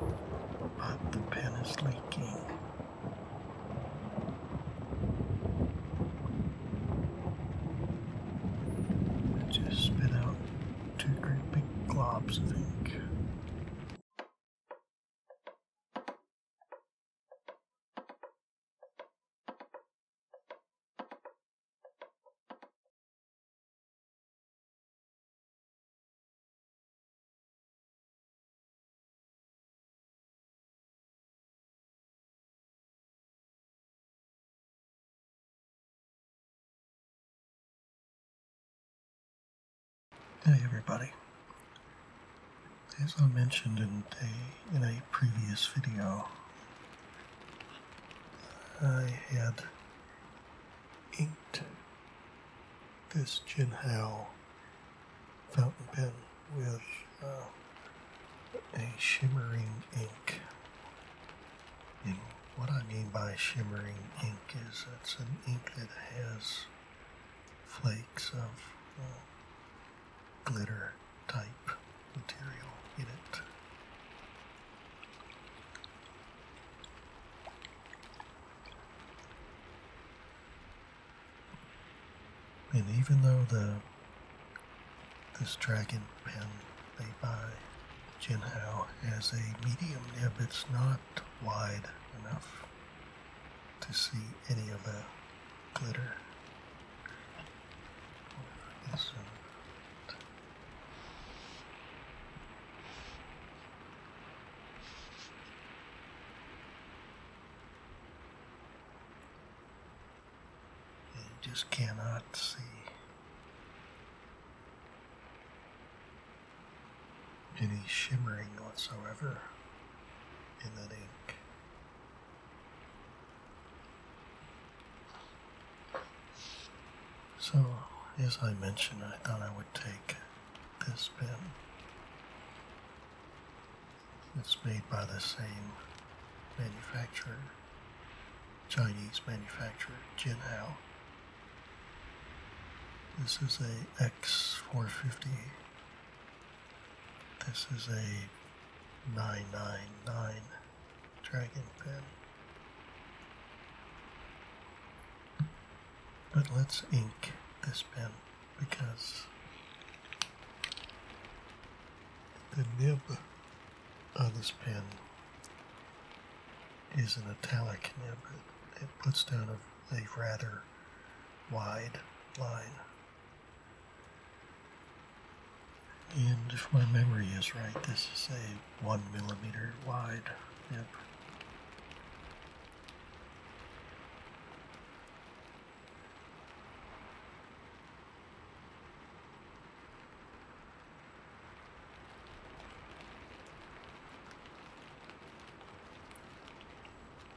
But the pen is leaking. I just spit out two great big globs of ink. Hey everybody. As I mentioned in a, in a previous video, I had inked this Jin fountain pen with uh, a shimmering ink. And what I mean by shimmering ink is it's an ink that has flakes of uh, glitter type material in it. And even though the this dragon pen they buy, Jinhao has a medium nib. It's not wide enough to see any of the glitter. You just cannot see. Any shimmering whatsoever in that ink. So, as I mentioned, I thought I would take this pen. It's made by the same manufacturer, Chinese manufacturer, Jinhao. This is a X450. This is a 999 Dragon pen. But let's ink this pen because the nib of this pen is an italic nib. It, it puts down a, a rather wide line. And if my memory is right, this is a one millimeter wide. Yep.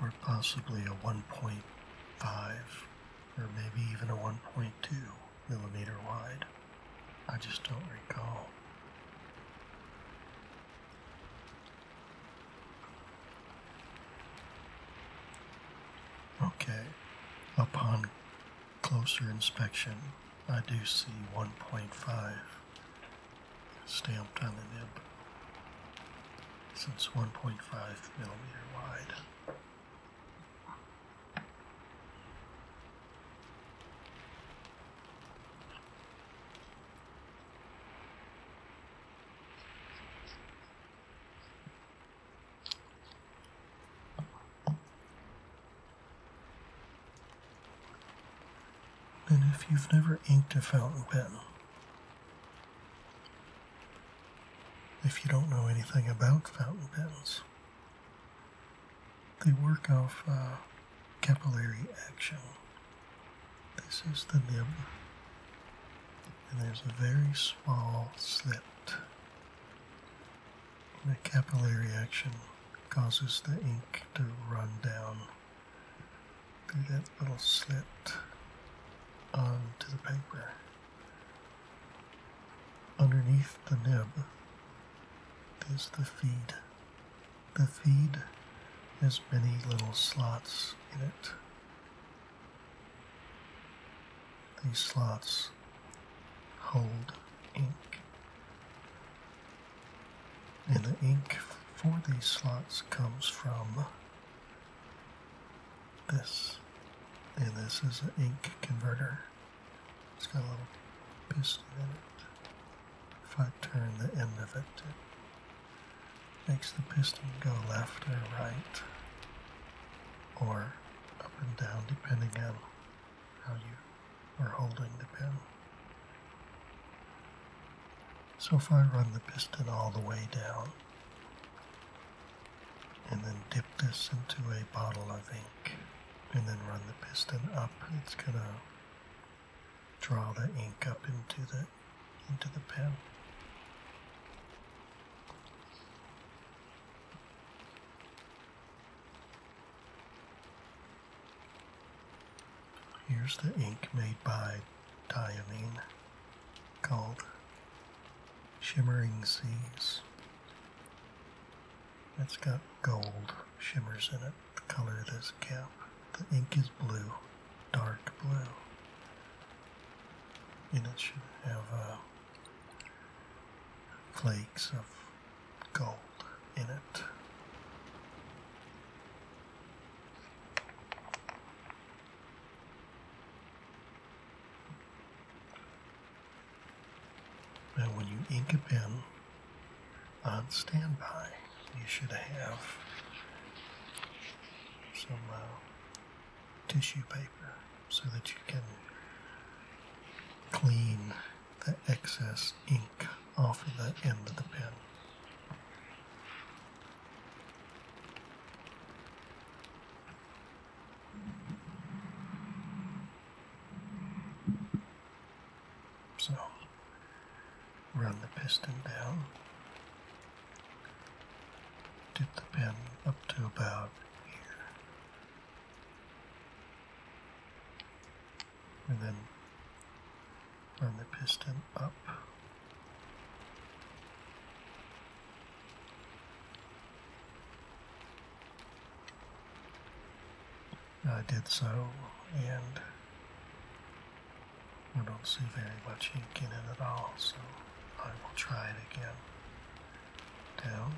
Or possibly a 1.5 or maybe even a 1.2 millimeter wide. I just don't recall. Okay, upon closer inspection, I do see 1.5 stamped on the nib since 1.5 millimeter wide. And if you've never inked a fountain pen, if you don't know anything about fountain pens, the work of uh, capillary action. This is the nib, and there's a very small slit. The capillary action causes the ink to run down through that little slit onto the paper. Underneath the nib is the feed the feed has many little slots in it. These slots hold ink. And the ink for these slots comes from this. And this is an ink converter. It's got a little piston in it. If I turn the end of it, it makes the piston go left or right or up and down depending on how you are holding the pen. So if I run the piston all the way down and then dip this into a bottle of ink and then run the piston up, it's going to draw the ink up into the into the pen. Here's the ink made by diamine called Shimmering Seas. It's got gold shimmers in it color this cap. The ink is blue, dark blue. And it should have uh, flakes of gold in it. Now, when you ink a pen on standby, you should have some uh, tissue paper so that you can clean the excess ink off of the end of the pen. So run the piston down. Dip the pin up to about here. And then run the piston up. I did so, and we don't see very much ink in it at all, so I will try it again. Down.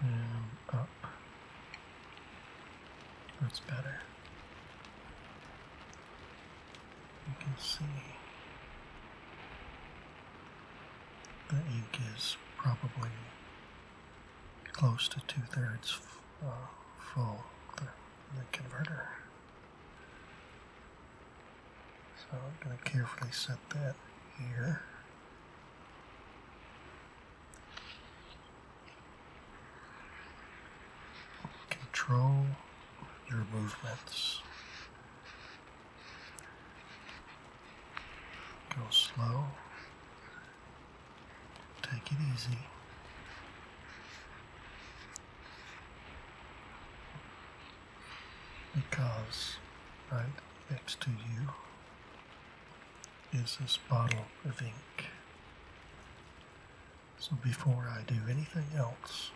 And up. That's better. You can see the ink is probably close to two thirds uh, full, the converter. So I'm going to carefully set that here. Control your movements. Go slow. Take it easy. Because right next to you is this bottle of ink. So before I do anything else,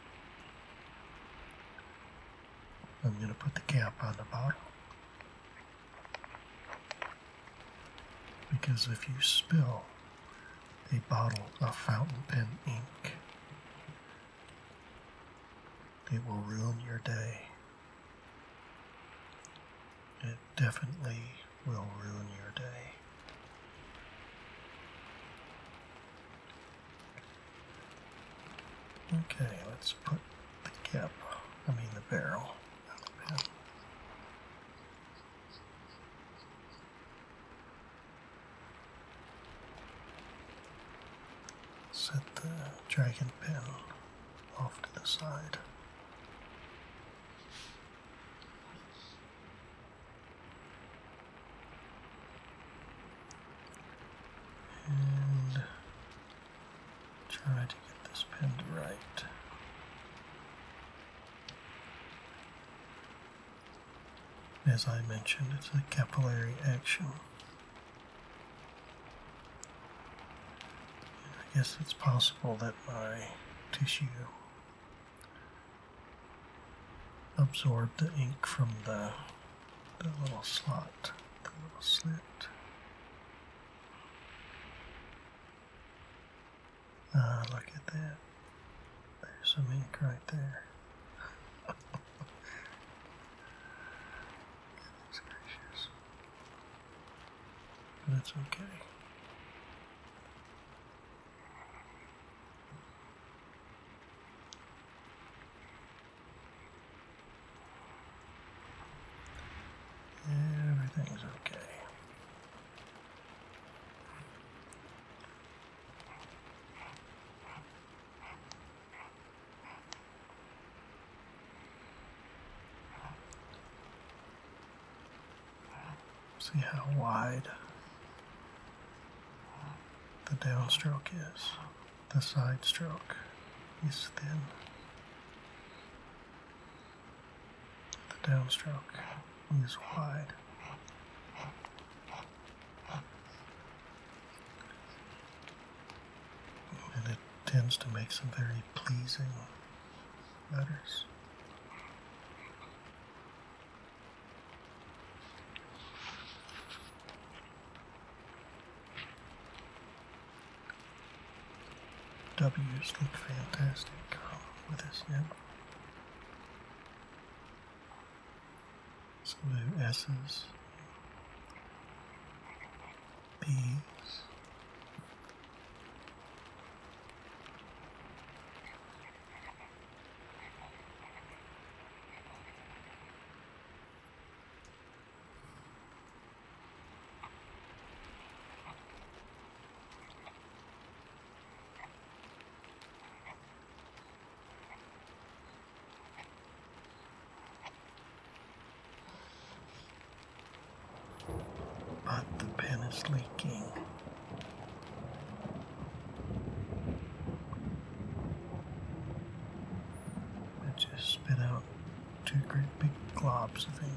I'm going to put the cap on the bottle because if you spill a bottle of fountain pen ink, it will ruin your day. It definitely will ruin your day. Okay, let's put the cap, I mean the barrel, Set the dragon pen off to the side. And Try to get this pinned right. As I mentioned, it's a capillary action. I guess it's possible that my tissue absorbed the ink from the, the little slot, the little slit. Ah, look at that. There's some ink right there. Goodness gracious. That's okay. Everything's okay. See how wide the downstroke is. The side stroke is thin. The downstroke is wide. And it tends to make some very pleasing letters. W's look fantastic with us now. Some new S's, B's, but the pen is leaking. It just spit out two great big globs, I think.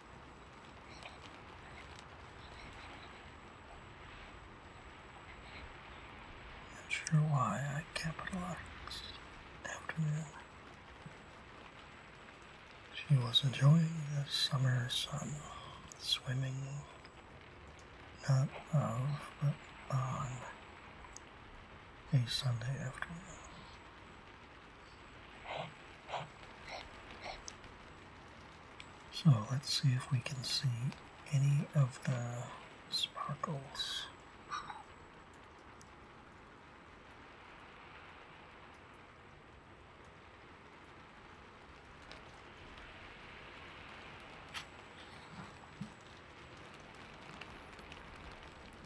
Not sure why I capitalized after She was enjoying the summer sun, swimming, not of, but on a Sunday afternoon. So let's see if we can see any of the sparkles.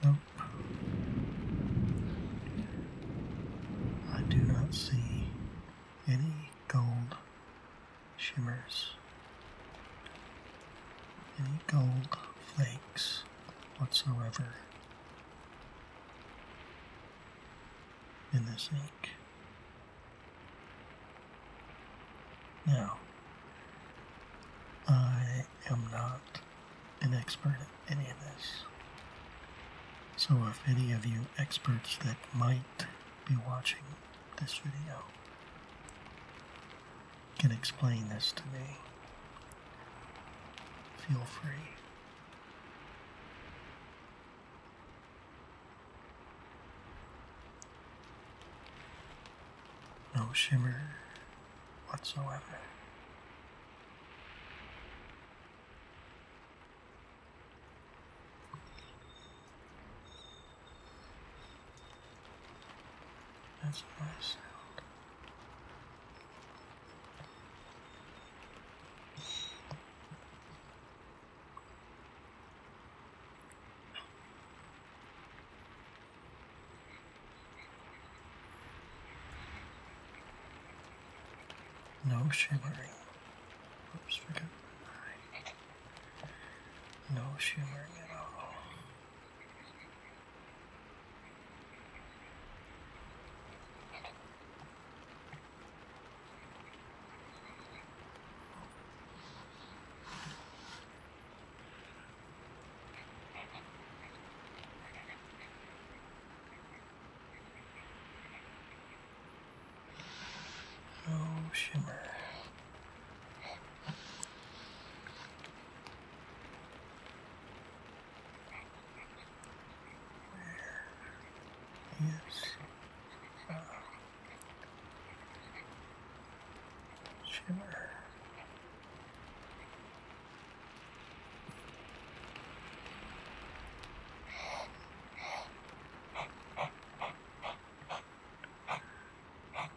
Nope. I do not see any gold shimmers, any gold flakes whatsoever in this ink. Now, I am not an expert any of this. So if any of you experts that might be watching this video can explain this to me, feel free. No shimmer whatsoever. That's my sound. No shimmering. Oops, forgot No shimmering at all. No oh, shimmer. Where is uh, shimmer?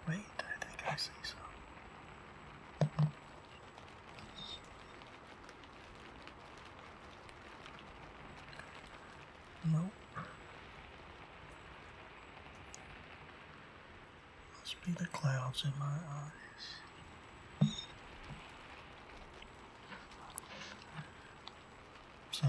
Wait, I think I see some. Nope. Must be the clouds in my eyes. So.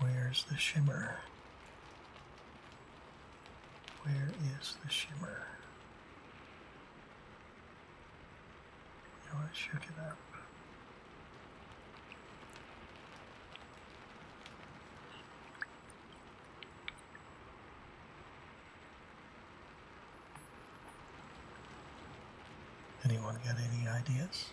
Where's the shimmer? Where is the shimmer? You know, I shook it up. Anyone got any ideas?